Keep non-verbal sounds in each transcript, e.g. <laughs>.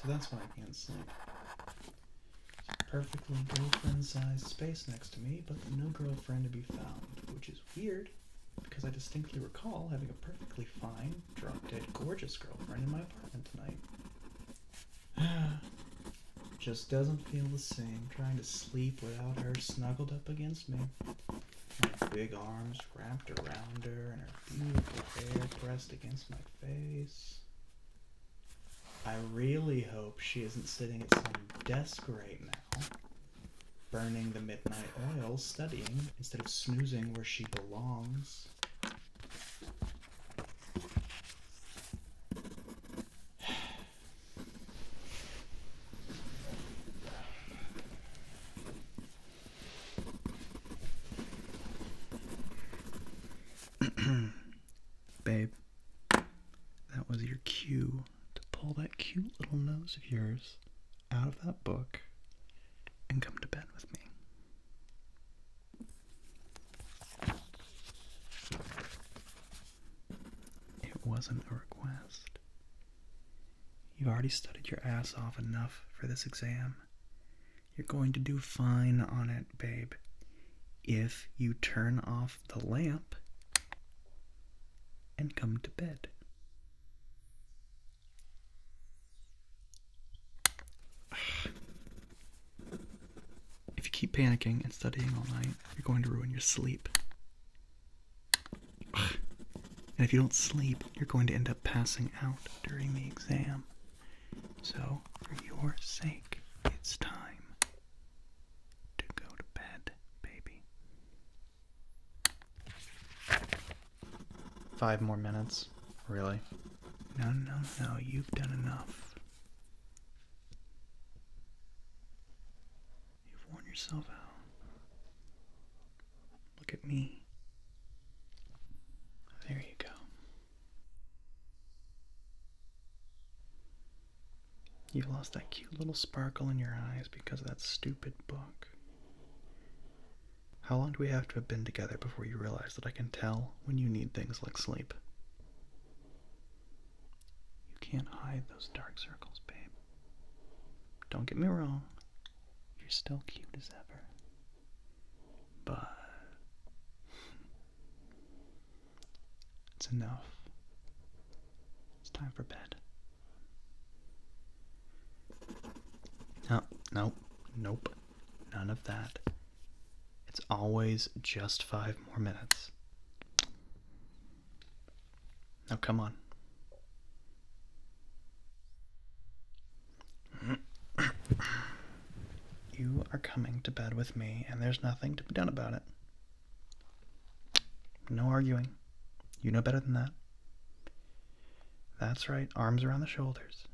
So that's why I can't sleep. Perfectly girlfriend-sized space next to me, but no girlfriend to be found, which is weird because I distinctly recall having a perfectly fine, drop-dead, gorgeous girlfriend in my apartment tonight. <sighs> Just doesn't feel the same trying to sleep without her snuggled up against me. My big arms wrapped around her and her beautiful hair pressed against my face. I really hope she isn't sitting at some desk right now, burning the midnight oil studying instead of snoozing where she belongs. <sighs> Babe, that was your cue to pull that cute little nose of yours out of that book and come to bed with me. It wasn't a request. You've already studied your ass off enough for this exam. You're going to do fine on it, babe. If you turn off the lamp and come to bed. If you keep panicking and studying all night, you're going to ruin your sleep. And if you don't sleep, you're going to end up passing out during the exam. So, for your sake, it's time to go to bed, baby. Five more minutes? Really? No, no, no, you've done enough. You've worn yourself out. Look at me. There you go. You lost that cute little sparkle in your eyes because of that stupid book. How long do we have to have been together before you realize that I can tell when you need things like sleep? You can't hide those dark circles, babe. Don't get me wrong, you're still cute as ever. But it's enough. It's time for bed. No, nope, nope, none of that. It's always just five more minutes. Now, come on. You are coming to bed with me, and there's nothing to be done about it. No arguing. You know better than that. That's right, arms around the shoulders.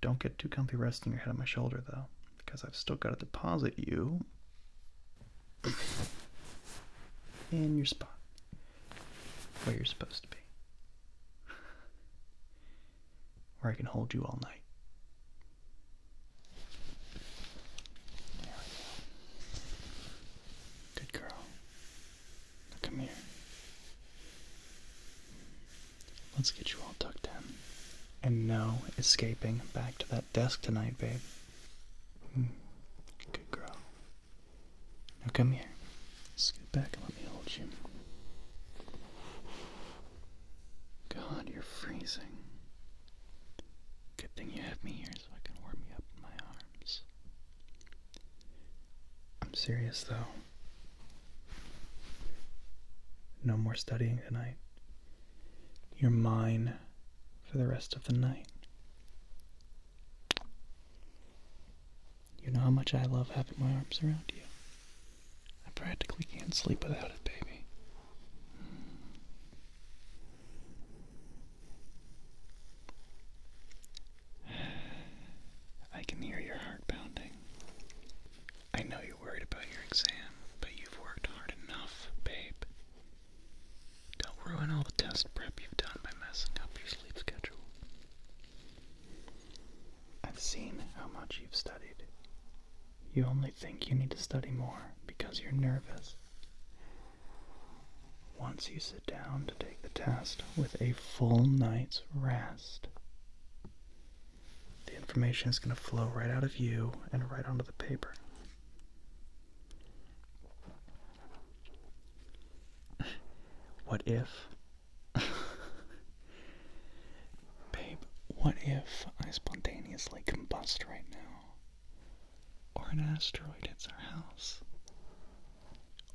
Don't get too comfy resting your head on my shoulder, though because I've still got to deposit you in your spot where you're supposed to be. Where I can hold you all night. Good girl. come here. Let's get you all tucked in. And no escaping back to that desk tonight, babe. Mm. Good girl. Now come here. Scoot back and let me hold you. God, you're freezing. Good thing you have me here so I can warm you up in my arms. I'm serious though. No more studying tonight you're mine for the rest of the night. You know how much I love having my arms around you. I practically can't sleep without it, baby. <sighs> I can hear your heart pounding. I know you're worried about your exam, but you've worked hard enough, babe. Don't ruin all the test prep you've done by messing up your sleep schedule. I've seen how much you've studied. You only think you need to study more because you're nervous. Once you sit down to take the test with a full night's rest, the information is going to flow right out of you and right onto the paper. What if? <laughs> Babe, what if I spontaneously combust right now? Or an asteroid hits our house?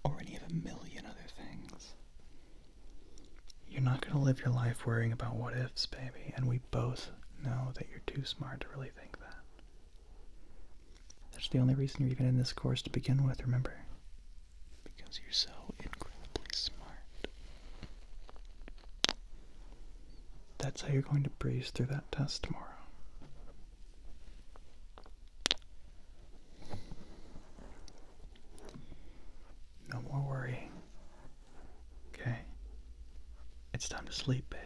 Or any of a million other things? You're not going to live your life worrying about what ifs, baby, and we both know that you're too smart to really think that. That's the only reason you're even in this course to begin with, remember? Because you're so incredibly smart. That's how you're going to breeze through that test tomorrow. No more worrying. Okay? It's time to sleep, babe.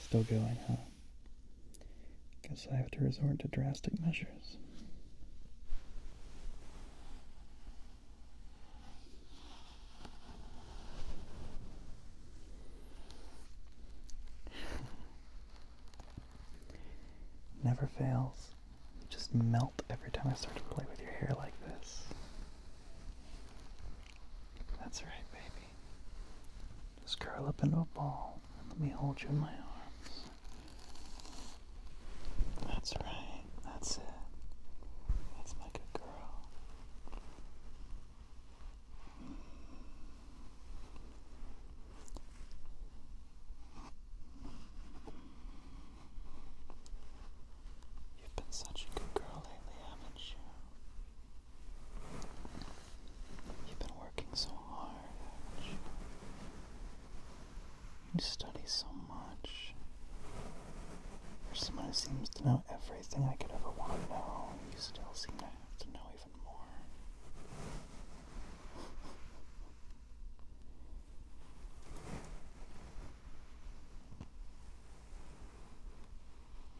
Still going, huh? Guess I have to resort to drastic measures. Never fails. just melt every time I start to play with your hair like this. That's right, baby. Just curl up into a ball and let me hold you in my arms. That's right. That's it. That's my good girl. You've been such a good girl lately, haven't you? You've been working so hard, you? study so much. For someone who seems to know everything I could ever want to know, you still seem to have to know even more.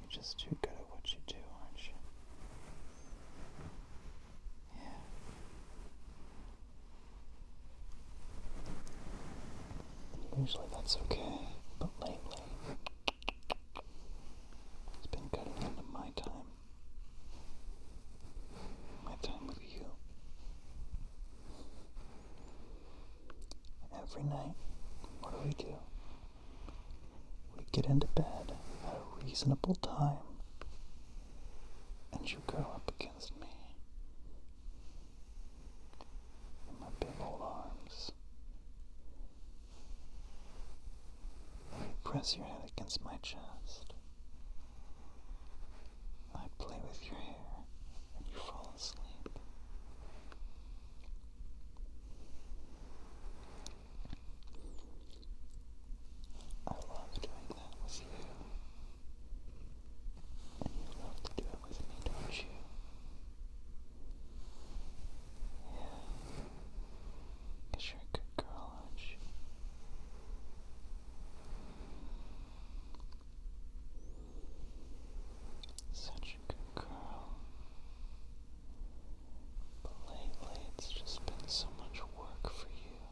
You're just too good at what you do, aren't you? Yeah. Usually that's okay, but lately it's been cutting into my time my time with you. Every night, what do we do? We get into bed at a reasonable time, and you go up against me in my big old arms. Press your head against my chest. I play with your hair and you fall asleep. I love doing that with you. And you love to do it with me, don't you? Yeah. Because you're a good girl, aren't you? Such a good girl. But lately it's just been so much work for you.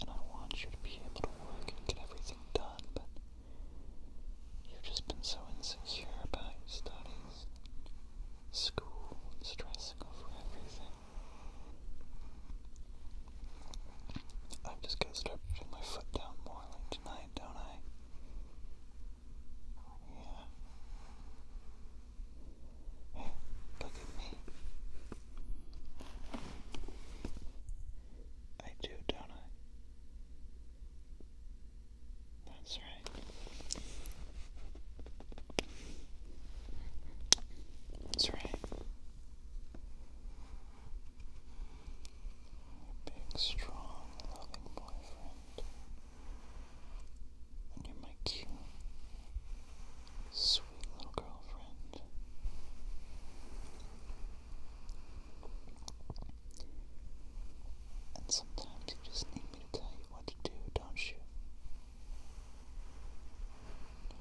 And I want you to be able to work and get everything done, but you've just been so insecure about your studies school and stressing over everything. I've just got to start putting my foot down more tonight, don't I? Yeah. Hey, look at me. I do, don't I? That's right. That's right. big, strong, loving boyfriend. And you're my cute, sweet little girlfriend. And sometimes you just need me to tell you what to do, don't you?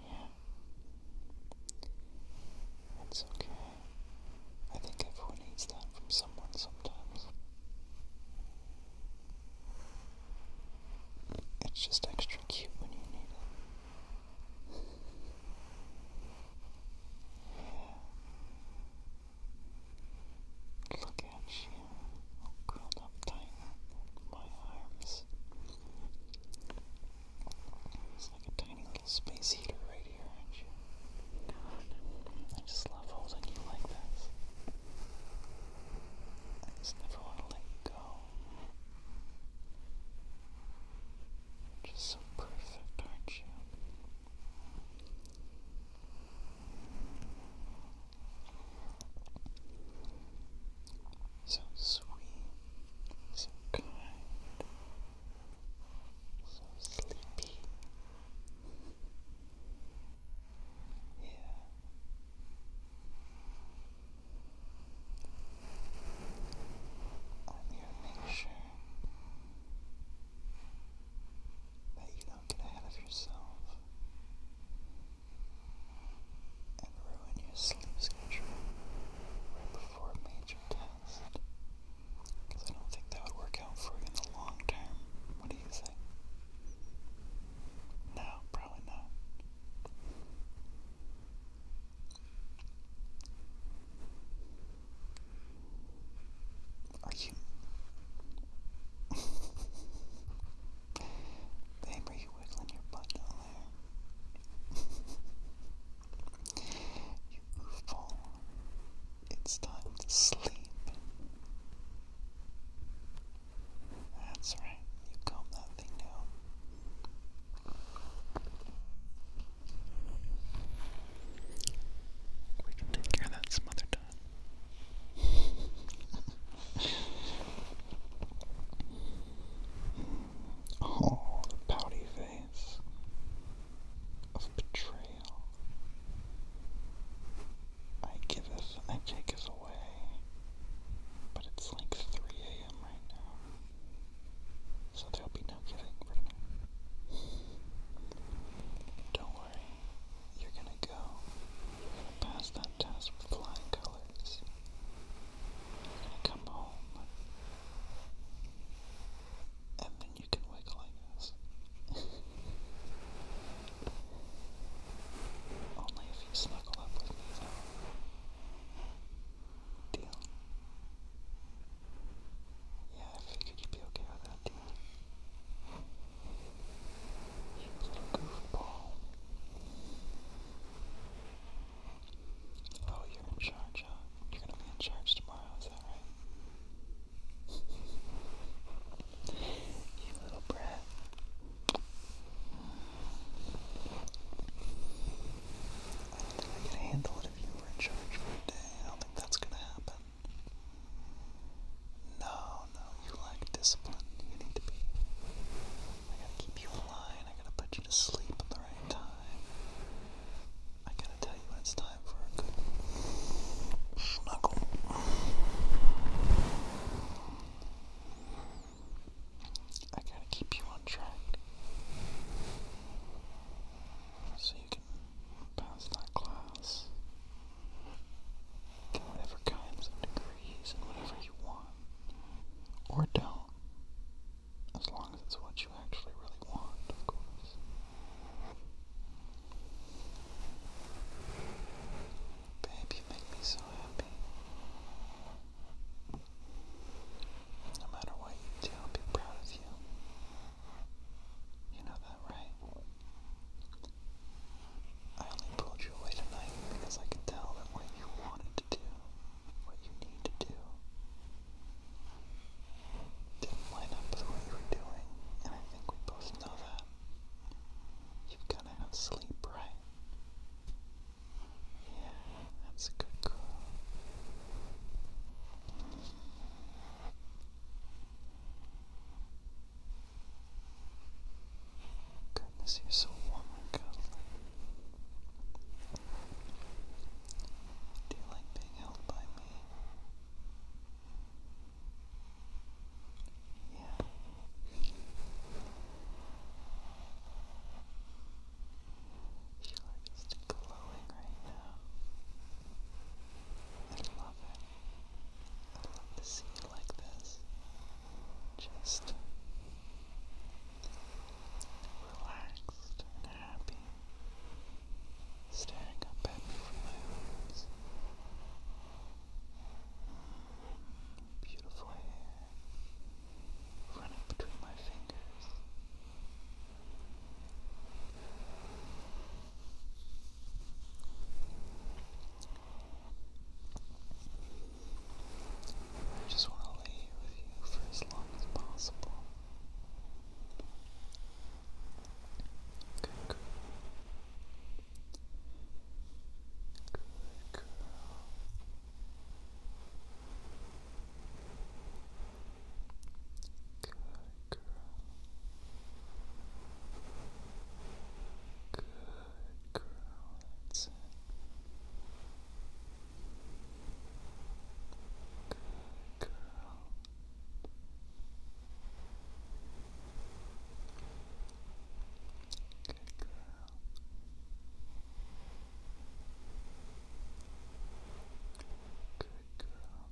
Yeah. It's okay. I think everyone needs that from someone sometimes. It's just extra cute when you need it. yeah. Look at you curled up tight in my arms. It's like a tiny little space heater right here, aren't you? I just love holding you like this. never want to let you go. are just so perfect, aren't you? So sweet, so kind, so sleepy. Yeah. I'm to make sure that you don't get ahead of yourself and ruin your sleep schedule right before a major test. Because I don't think that would work out for you in the long term. What do you think? No, probably not. Are you? <laughs> Damn, are you wiggling your butt down there? <laughs> you goofball. It's time to sleep. That's right, you calm that thing down. We can take care of that some other time oh, pouty face of betrayal. I giveth, I taketh away, but it's like 3 a.m. right now, so there'll be no giving for me. Don't worry, you're gonna go. You're gonna pass that test with flying colors. You're gonna come home. And then you can wiggle like this. <laughs> Only if you snuggle up with me, though. Deal? Yeah, I figured you'd be okay with that he goofball. Oh, you're in charge, You're gonna be in charge tomorrow, is that right? you little brat. I don't think I could handle it if you were in charge for day. I don't think that's gonna happen. No, no, you lack discipline. You need to be. I gotta keep you in line. I gotta put you to sleep at the right time. I gotta tell you it's time for a good snuggle. I gotta keep you on track so you can pass that class in whatever kinds of degrees and whatever you want, or don't, as long as it's what you actually really want, of course. Babe, you make me so happy. No matter what you do, I'll be proud of you. You know that, right? I only pulled you away tonight because I could tell that what you wanted to do, what you need to do, didn't line up with what you were doing, and I think we both know that. You've got to have sleep, right? Yeah, that's a good girl. Goodness, you're so warm and cuddly. Do you like being held by me? Yeah. You are glowing right now. I love it. I love to see it like this. Just relaxed happy, staring up at me from my rooms. Beautiful hair running between my fingers. I just want to lay with you for as long as possible. Good girl. Good girl. Good girl. Good girl. Good girl. Good girl. Good girl.